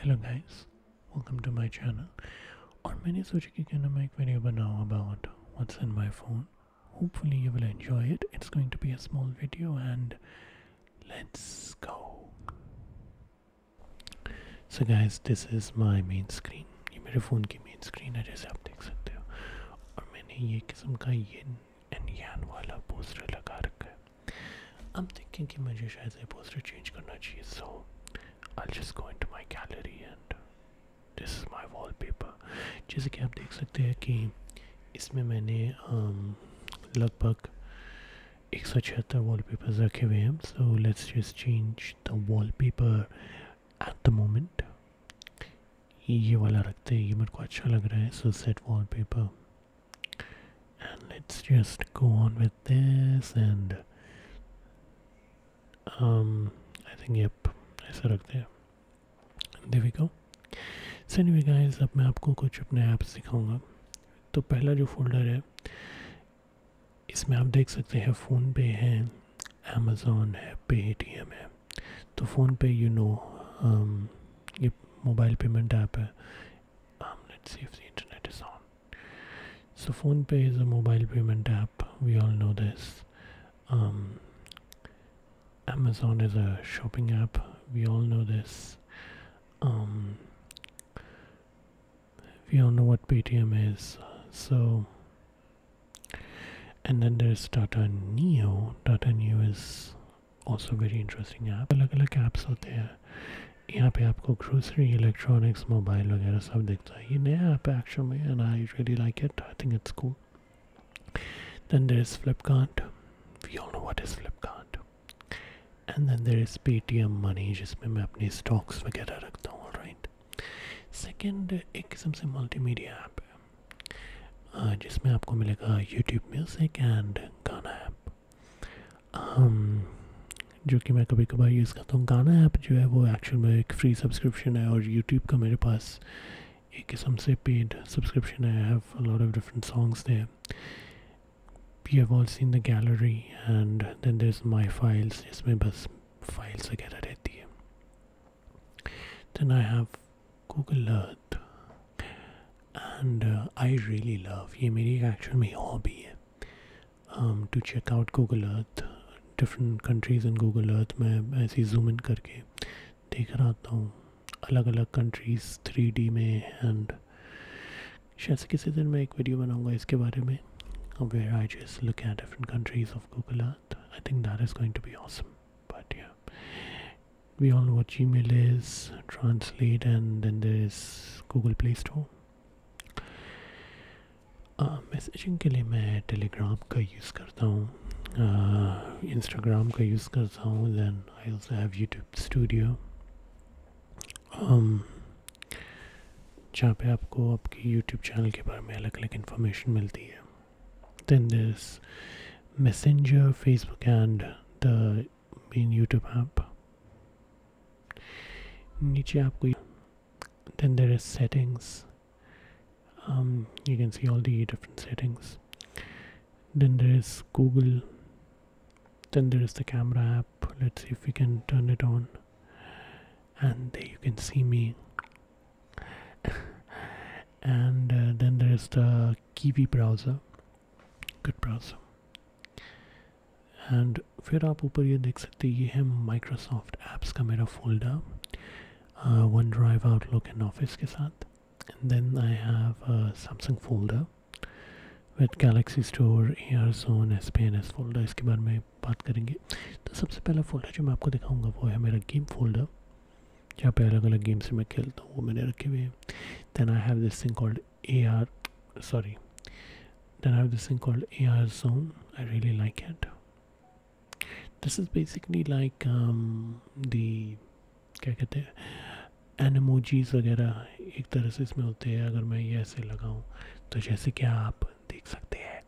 Hello guys welcome to my channel और मैंने सोचा कि क्या ना एक वीडियो बनाऊँ about what's in my phone hopefully you will enjoy it it's going to be a small video and let's go so guys this is my main screen ये मेरे फ़ोन की मेन स्क्रीन है जैसे आप देख सकते हो और मैंने ये किस्म का ये एन वाला पोस्टर लगा रखा है I'm thinking कि मुझे शायद ये poster change करना चाहिए so I'll just go into my gallery and this is my wallpaper जैसे कि आप देख सकते हैं कि इसमें मैंने um, लगभग एक सौ छिहत्तर वॉल पेपर्स रखे हुए हैं so let's just change the wallpaper at the moment ये वाला रखते हैं ये मेरे को अच्छा लग रहा है so set wallpaper and let's just go on with this and um i think yep ऐसा रखते हैं देवी को सो एनीवे गाइस अब मैं आपको कुछ अपने ऐप्स दिखाऊंगा तो पहला जो फोल्डर है इसमें आप देख सकते हैं फ़ोन पे है अमेज़ोन है पेटीएम है तो फ़ोन पे यू नो ये मोबाइल पेमेंट ऐप है Um, let's see if the internet is on. So PhonePe is a mobile payment app. We all know this. Um, Amazon is a shopping app. We all know this. Um, we all know what Paytm is. So, and then there's Tata Neo. Tata Neo is also very interesting app अलग अलग apps होते हैं यहाँ पे आपको grocery electronics mobile वगैरह सब दिखता है ये नया ऐप है एक्चुअल में and I really like it I think it's cool then there is Flipkart we all know what is Flipkart and then there is Paytm Money जिसमें मैं अपने स्टॉक्स वगैरह रखता हूँ राइट सेकेंड एक किस्म से मल्टीमीडिया ऐप है जिसमें आपको मिलेगा YouTube Music and Gaana app Um, जो कि मैं कभी कभार यूज़ करता हूँ गाना ऐप जो है वो एक्चुअल में एक फ्री सब्सक्रिप्शन है और यूट्यूब का मेरे पास एक किस्म से पेड सब्सक्रिप्शन है I have lot of different songs there you have all seen the gallery and then there is my files इसमें बस फाइल्स वगैरह रहती है then I have Google Earth and I really love ये मेरी actual में hobby है to check out Google Earth different countries in Google Earth में ऐसी जूम इन करके देख रहा था हूँ अलग अलग कंट्रीज़ थ्री डी में एंड शायद से किसी दिन मैं एक वीडियो बनाऊँगा इसके बारे में where I just look at different countries of Google Earth. I think that is going to be awesome. But we all know what Gmail is, Translate, and then there's Google Play Store. Messaging uh, के लिए मैं Telegram का use करता हूँ Instagram uh, का use करता हूँ then I also have YouTube Studio जहाँ पे आपको आपके यूट्यूब चैनल के बारे में अलग अलग इन्फॉर्मेशन मिलती है then this Messenger Facebook and the Mean YouTube app. In each then there is settings. Um, you can see all the different settings. Then there is Google. Then there is the camera app. Let's see if we can turn it on. And there you can see me. and uh, then there is the Kiwi browser good browser and फिर आप ऊपर ये देख सकते हैं ये है Microsoft apps का मेरा folder OneDrive Outlook and office के साथ and then I have Samsung folder with Galaxy Store AR Zone S P N S folder इसके बारे में बात करेंगे तो सबसे पहला फोल्डर जो मैं आपको दिखाऊँगा वो है मेरा गेम फोल्डर जहाँ पे अलग अलग गेम्स मैं खेलता हूँ वो मैंने रखे हुए okay then i have this thing called ar sorry then i have this thing called ar zone i really like it this is basically like um, the क्या कहते हैं एनिमोजीज वगैरह एक तरह से इसमें होते हैं अगर मैं ये ऐसे लगाऊं तो जैसे कि आप देख सकते हैं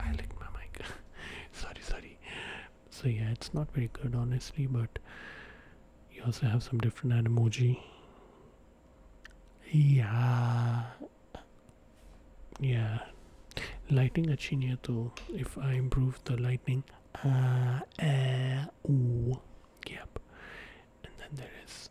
I licked my mic. sorry, sorry. So yeah, it's not very good honestly, but you also have some different emoji. Yeah. Yeah. Lighting अच्छी नहीं if I improve the lighting, uh, uh, ooh, yep and then there is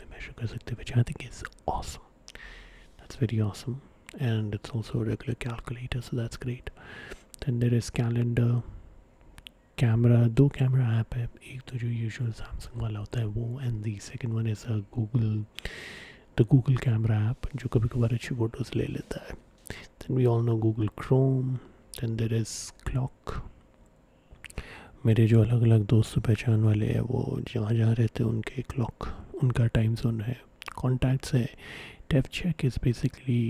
में measure kar sakte, which I think is awesome. That's very awesome, and it's also a regular calculator, so that's great. Then there is calendar, camera. दो camera app है, एक तो जो usual Samsung वाला होता है वो, and the second one is a Google, the Google camera app जो कभी-कभार अच्छी photos ले लेता है. Then we all know Google Chrome. Then there is clock. मेरे जो अलग अलग दोस्त पहचान वाले हैं वो जहाँ जहाँ रहते हैं उनके क्लॉक उनका टाइम जोन है कॉन्टैक्ट्स है tap check is basically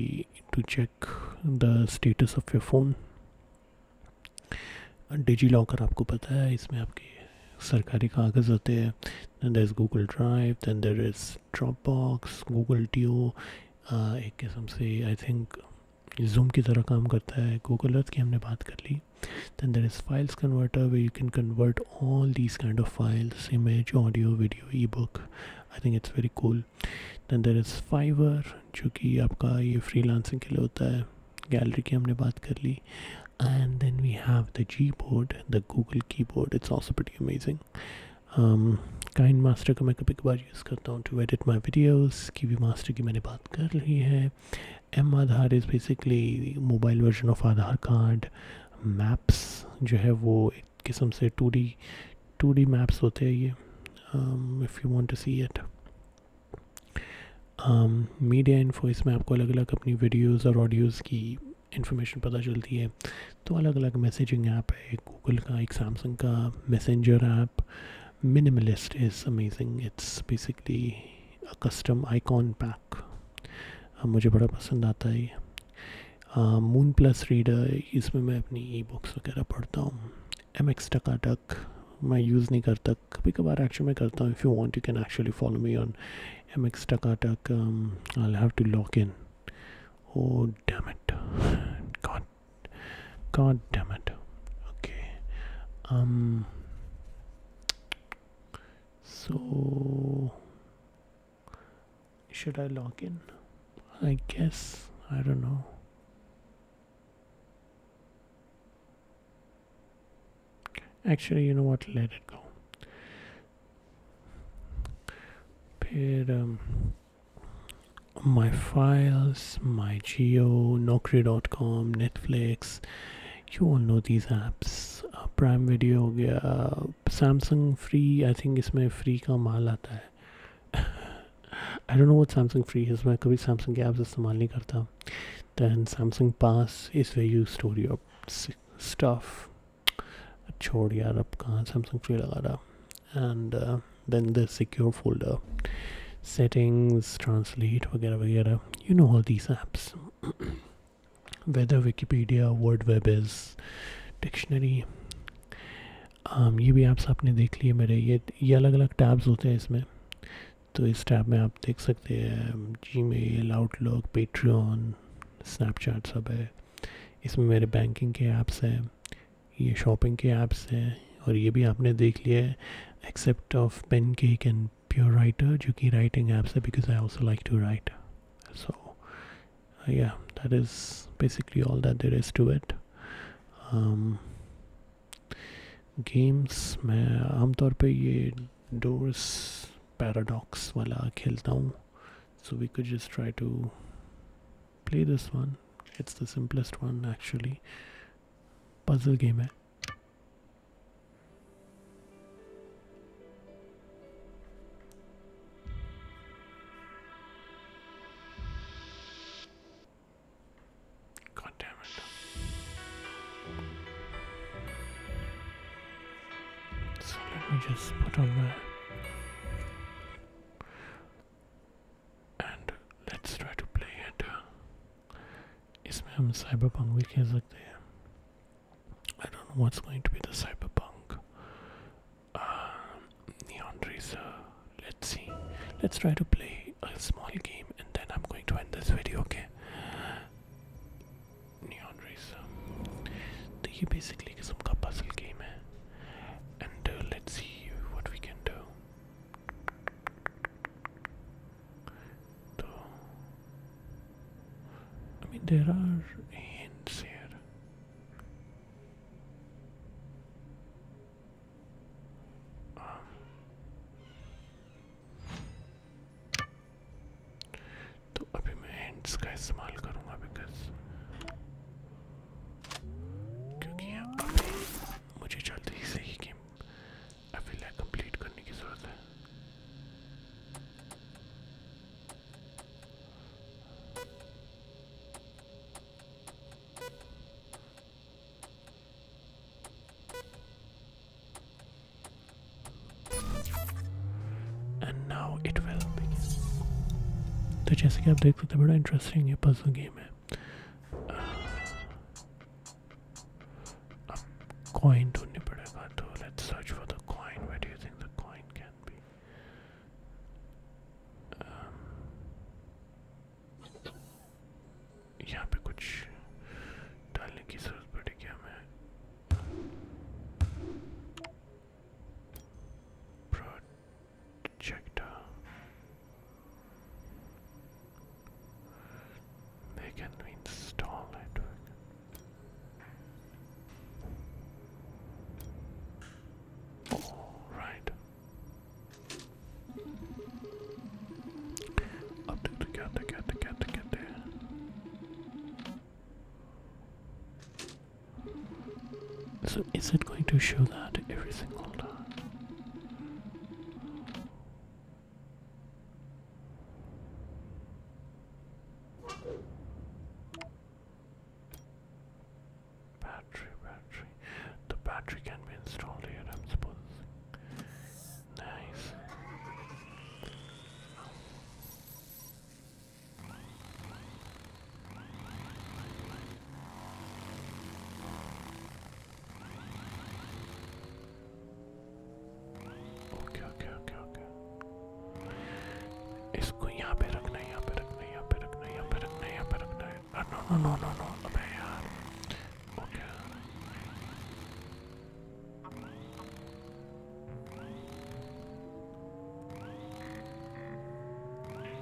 to check the status of your phone DigiLocker आपको पता है इसमें आपके सरकारी कागज़ होते हैं then there is Google Drive then there is Dropbox Google T एक किस्म से आई थिंक जूम की तरह काम करता है गूगल अर्थ की हमने बात कर ली then there is files converter where you can convert all these kind of files image audio video ebook i think it's very cool then there is fiverr जो कि आपका ये फ्री लांसिंग के लिए होता है गैलरी की हमने बात कर ली and then we have the Gboard the Google keyboard it's also pretty amazing KineMaster का मैं कभी कभार यूज़ करता हूँ टू एडिट माई वीडियोज़ की भी मास्टर की मैंने बात बात कर रही है M Aadhaar is basically mobile version of Aadhaar card maps जो है वो एक किस्म से two D two D maps होते हैं ये if you want to see it media info इसमें आपको अलग अलग अपनी वीडियोज और ऑडियोज़ की इन्फॉर्मेशन पता चलती है तो अलग अलग मैसेजिंग ऐप है गूगल का एक सैमसंग का Messenger app minimalist is amazing it's basically a custom icon pack uh, मुझे बड़ा पसंद आता है ये मून प्लस रीडर इसमें मैं अपनी ई बुक्स वगैरह पढ़ता हूँ एम एक्स टकाटक मैं यूज़ नहीं करता कभी कभार एक्चुअली मैं करता हूँ if you want you can actually follow me on M x Takatak I have to lock in oh damn it God God damn it. Okay. Um. So. Should I log in? I guess. I don't know. Actually, you know what? Let it go. Paid, um, my files, my geo, Nokri.com, Netflix. You all know these apps. Prime video हो गया Samsung free I think इसमें free का माल आता है I don't know what Samsung free है मैं कभी सैमसंग के ऐप्स इस्तेमाल नहीं करता then Samsung pass is way you store your stuff छोड़ यार अब कहाँ सैमसंग फ्री लगा रहा and uh, then the secure folder settings translate वगैरह वगैरह you know all these apps whether wikipedia word web is dictionary um, ये भी ऐप्स आपने देख लिए मेरे ये ये अलग अलग टैब्स होते हैं इसमें तो इस टैब में आप देख सकते हैं Gmail Outlook Patreon Snapchat सब है इसमें मेरे बैंकिंग के ऐप्स हैं ये शॉपिंग के ऐप्स हैं और ये भी आपने देख लिया है except of pen cake can pure writer जो कि राइटिंग ऐप्स है because I also like to write so yeah that is basically all that there is to it games मैं आमतौर पर ये डोर्स पैराडॉक्स वाला खेलता हूँ so we could try to play this one it's the simplest one actually Puzzle game. God damn it. So let me just put on my and let's try to play it. इसमें हम cyberpunk भी खेल सकते I I don't know what's going to be the cyberpunk. Uh, Neon Let's see. Let's try to play a small game and then I'm going to end this video. Okay. Neon Racer. So ये basically किस्म का puzzle game eh? And uh, let's see what we can do. So, I mean, there are hints here. Um, तो अभी मैं hints का इस्तेमाल करूँगा because क्योंकि मुझे जल्दी से गेम अभी कंप्लीट करने की ज़रूरत है तो जैसे कि आप देख सकते हैं बड़ा इंटरेस्टिंग ये पजल गेम है अब coin ढूंढनी पड़ेगा तो let's search for the coin. Where do you think the coin can be? Um, यहाँ पे कुछ डालने की जरूरत पड़ेगी हमें Injector. They can install it. Oh, right. Up to the cat, the So is it going to show that every single Battery, battery. The battery can be installed here, I'm supposing. Nice. Okay okay okay okay इसको यहाँ पे रखना है यहाँ पे रखना है यहाँ पे रखना है यहाँ पे रखना है यहाँ पे रखना है no no no no no अबे यार ओके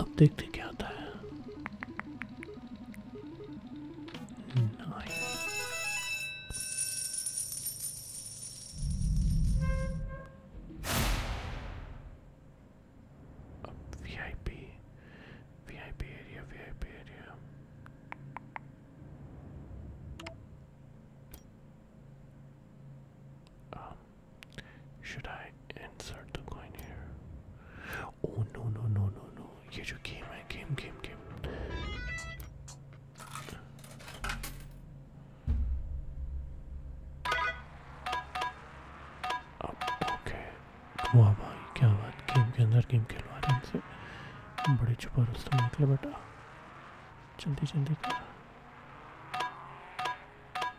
अब देखते क्या होता है अब VIP VIP area VIP area should I insert the coin here? Oh no no no no no! ये जो गेम है गेम गेम गेम अब ओके वाह भाई क्या बात गेम के अंदर गेम खेलवा रहे इनसे बड़े छुपा रुस्तम निकले बेटा जल्दी जल्दी कर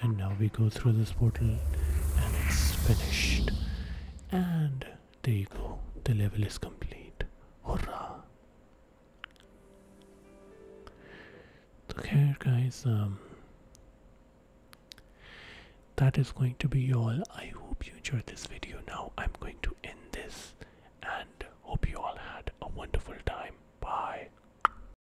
and now we go through this portal and it's finished and there you go the level is complete hurrah so guys um, that is going to be all i hope you enjoyed this video now i'm going to end this and hope you all had a wonderful time bye